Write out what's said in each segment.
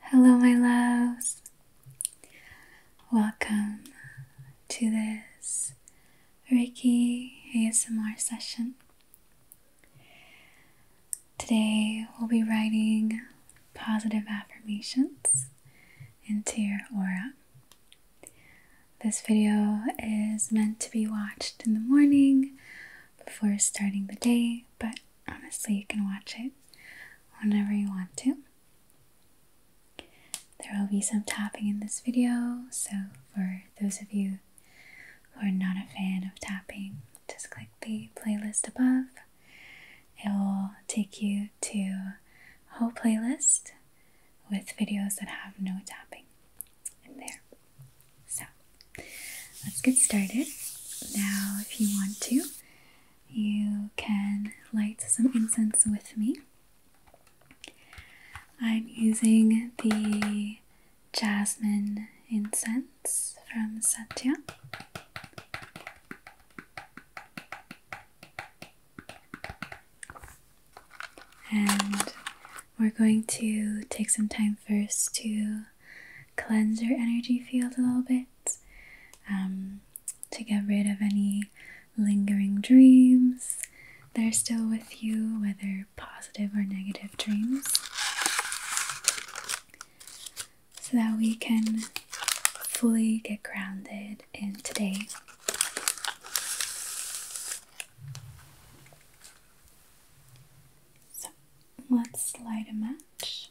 Hello, my loves. Welcome to this Reiki ASMR session. Today, we'll be writing positive affirmations into your aura. This video is meant to be watched in the morning before starting the day, but honestly, you can watch it whenever you want to. There will be some tapping in this video, so for those of you who are not a fan of tapping, just click the playlist above. It will take you to a whole playlist with videos that have no tapping in there. So let's get started. Now, if you want to, you can light some incense with me. I'm using the jasmine incense from Satya. And we're going to take some time first to cleanse your energy field a little bit um, to get rid of any lingering dreams that are still with you, whether positive or negative dreams, so that we can fully get grounded in today. So let's light a match.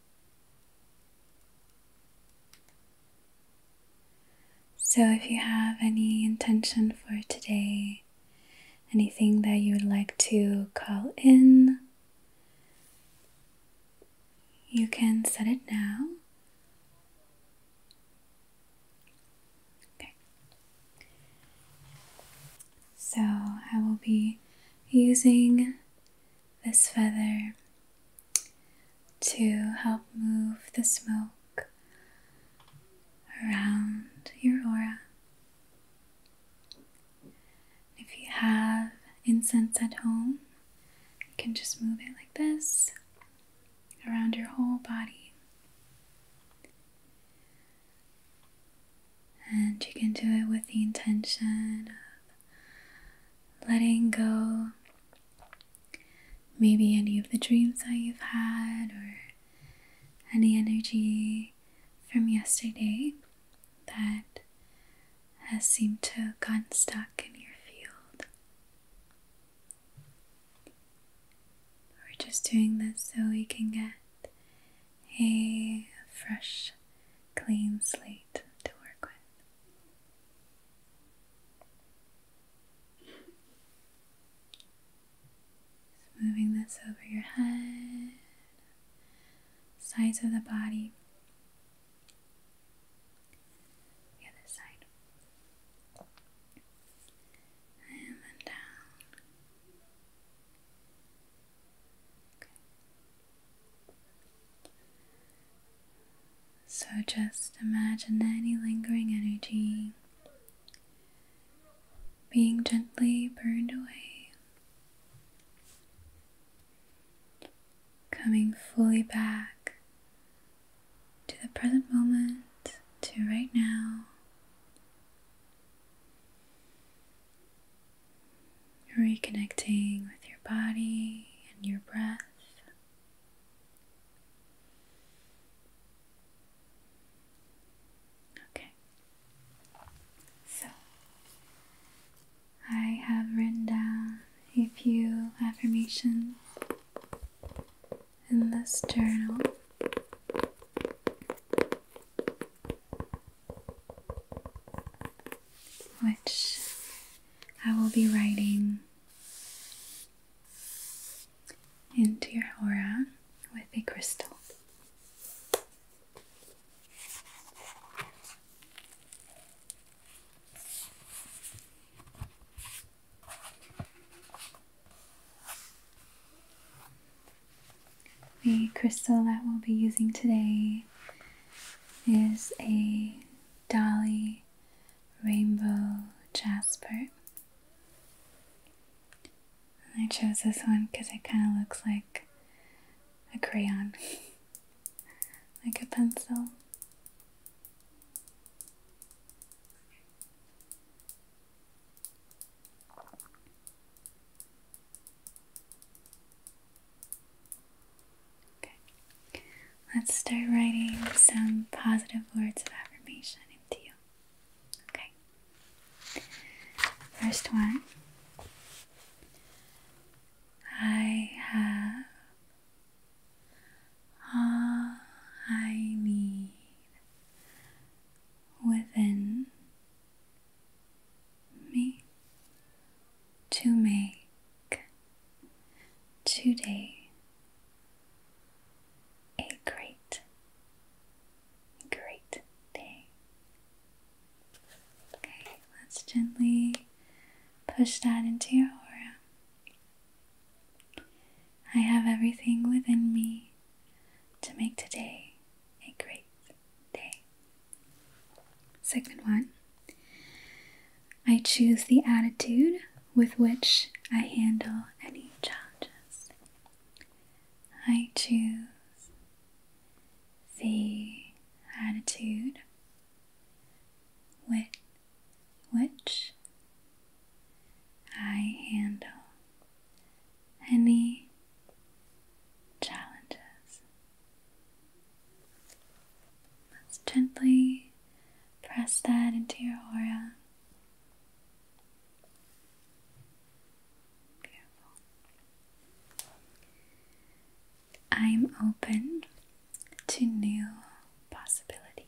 So, if you have any intention for today, anything that you would like to call in, you can set it now. Okay. So, I will be using this feather to help move the smoke around your aura. If you have incense at home, you can just move it like this around your whole body. And you can do it with the intention of letting go maybe any of the dreams that you've had or any energy from yesterday that has seemed to have gotten stuck in your field. We're just doing this so we can get a fresh clean slate to work with. moving this over your head, sides of the body, other side, and then down. Okay. So just imagine any lingering energy being gently burned away, coming fully back to the present moment, to right now reconnecting with your body and your breath. Okay, so I have written down a few affirmations in this journal which I will be writing into your aura with a crystal. The crystal that we'll be using today is a Dolly, Rainbow, Jasper. And I chose this one because it kind of looks like a crayon, like a pencil. Okay, let's start writing some positive words of affirmation into you. Okay, first one I have all I need within me to make today a great, great day. Okay, let's gently push that into your aura. I have everything within me to make today a great day. Second one I choose the attitude with which I handle any challenges. I choose the attitude with which I handle any challenges. Let's gently press that into your aura. I'm open to new possibilities.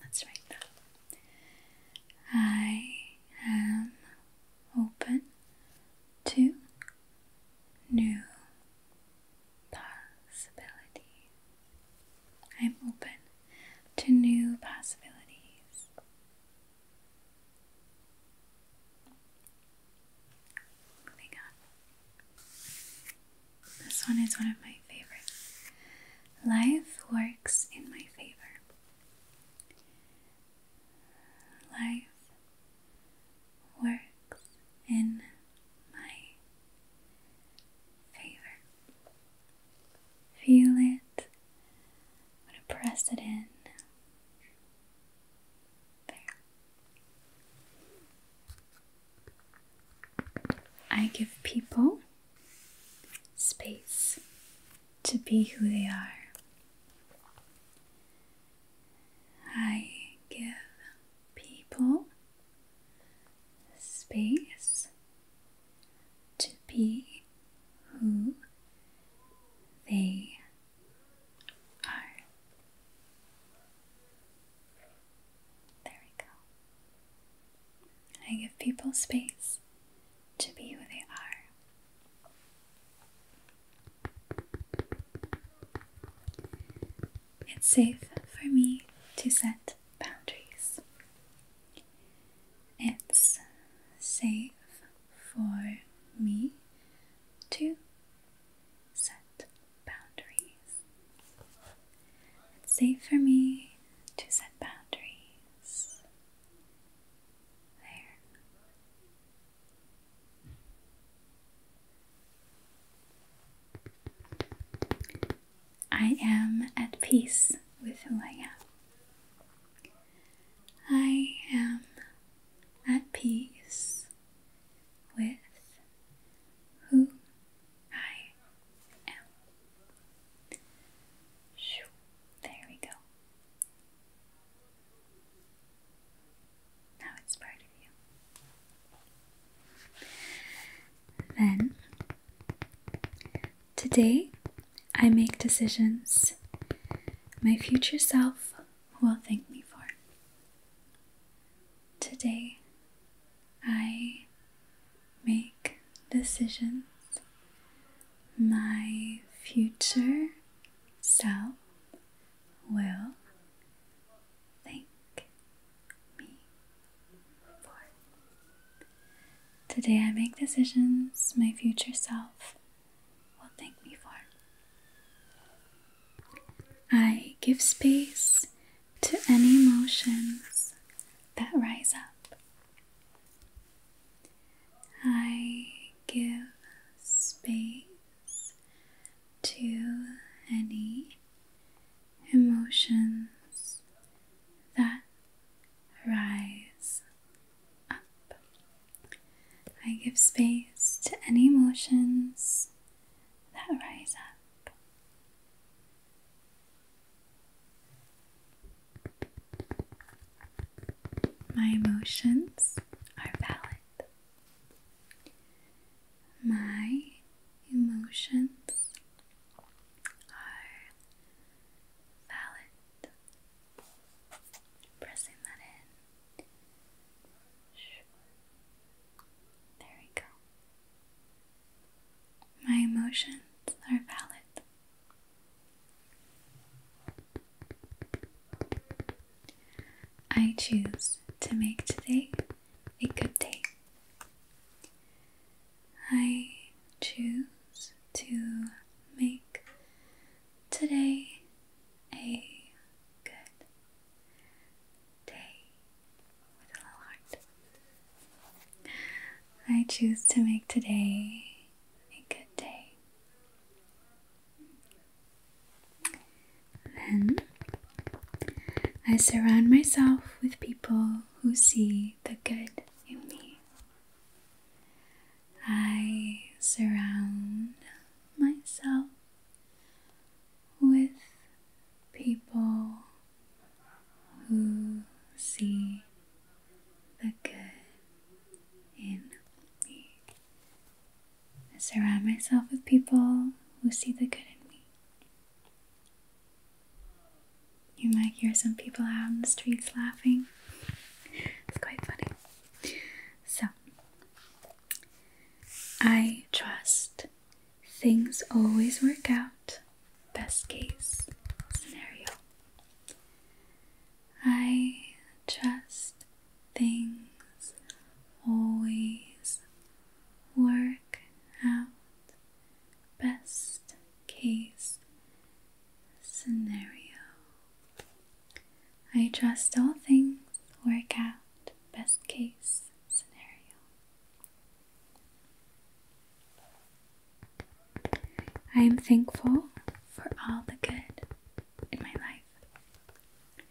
Let's write that. I am open to new possibility. I'm open to new possibilities. Moving on. This one is one of my favorites. Life works in my favor. Life works in my favor. Feel it. i to press it in. There. I give people space to be who they are. I give people space to be who they are. There we go. I give people space to be who they are. It's safe for me to set boundaries. It's safe for me to set boundaries. It's safe for me to set boundaries. There. I am at peace with who I am. I am at peace with who I am. There we go. Now it's part of you. Then, today I make decisions my future self will thank me for. Today I make decisions my future self will thank me for. Today I make decisions my future self will thank me for. I give space to any emotions that rise up. I give space to any emotions that rise up. I give space to any emotions that rise up. My emotions are valid. My emotions are valid. Pressing that in. There we go. My emotions are valid. I choose to make today a good day. I choose to make today a good day with a little heart. I choose to make today a good day. Then I surround myself with people who see the good in me. I surround myself with people who see the good in me. I surround myself with people who see the good in me. You might hear some people out in the streets laughing. It's quite funny. So, I trust things always work out, best case scenario. I trust things always work out best case scenario. I trust all things work out best case scenario. I am thankful for all the good in my life.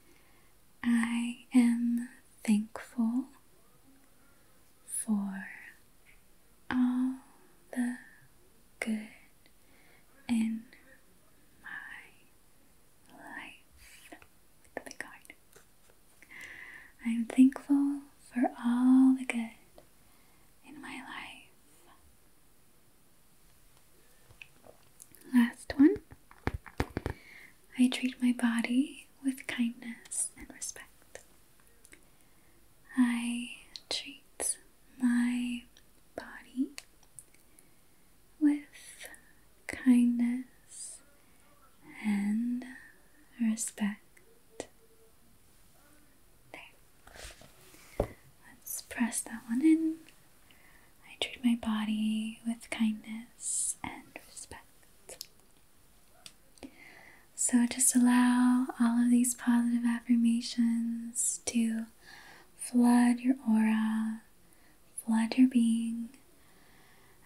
I am thankful for all the good in my life. The big I'm thankful for all the good in my life. Last one. I treat my body with kindness and respect. I treat my body with kindness and respect. There. Let's press that one in. I treat my body with kindness and respect. So just allow all of these positive affirmations to flood your aura, flood your being,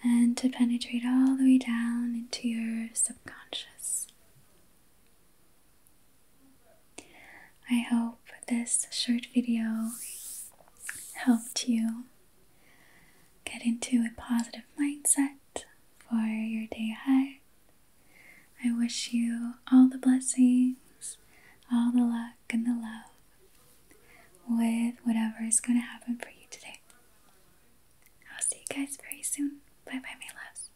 and to penetrate all the way down into your subconscious. I hope this short video helped you Get into a positive mindset for your day ahead. I wish you all the blessings, all the luck, and the love with whatever is going to happen for you today. I'll see you guys very soon. Bye bye, my loves.